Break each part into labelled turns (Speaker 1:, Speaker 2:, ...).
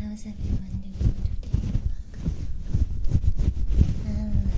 Speaker 1: how's everyone doing today? Hello.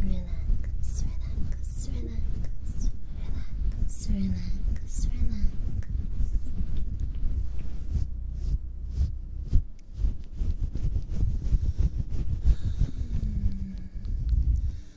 Speaker 1: Relax, relax, relax, relax, relax, relax. Mm.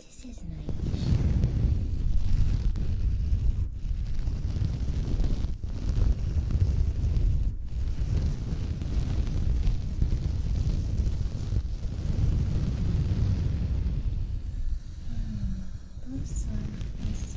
Speaker 1: This is nice. Oh, this one, this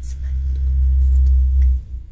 Speaker 1: It's fantastic.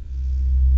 Speaker 1: Relax, relax. Good.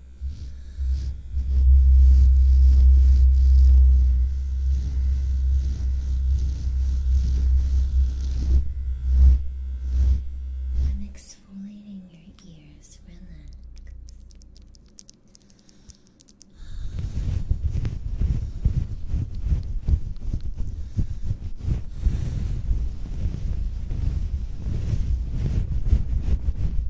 Speaker 1: I'm exfoliating your ears. Relax. Relax.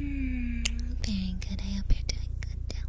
Speaker 1: Mm, very good. I hope you're doing good too.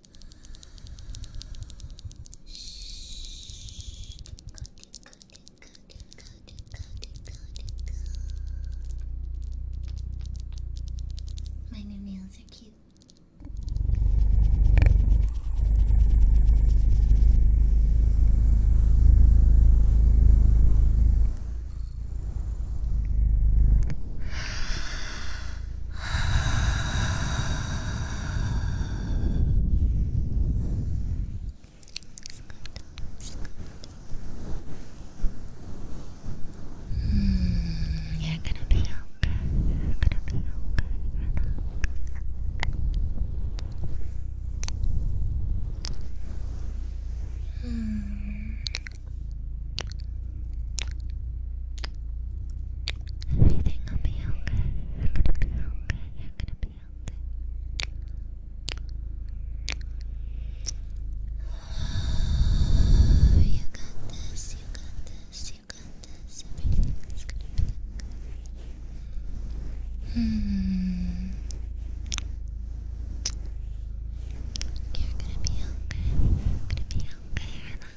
Speaker 1: My new nails are cute. Mm, you're gonna be okay. You're gonna be okay. You're gonna be okay. Mm, Everything will be okay. You're gonna be okay. You're gonna be okay. You got this. You got this. You got this. Everything gonna be okay. Hmm. You're gonna be okay. You're gonna be okay.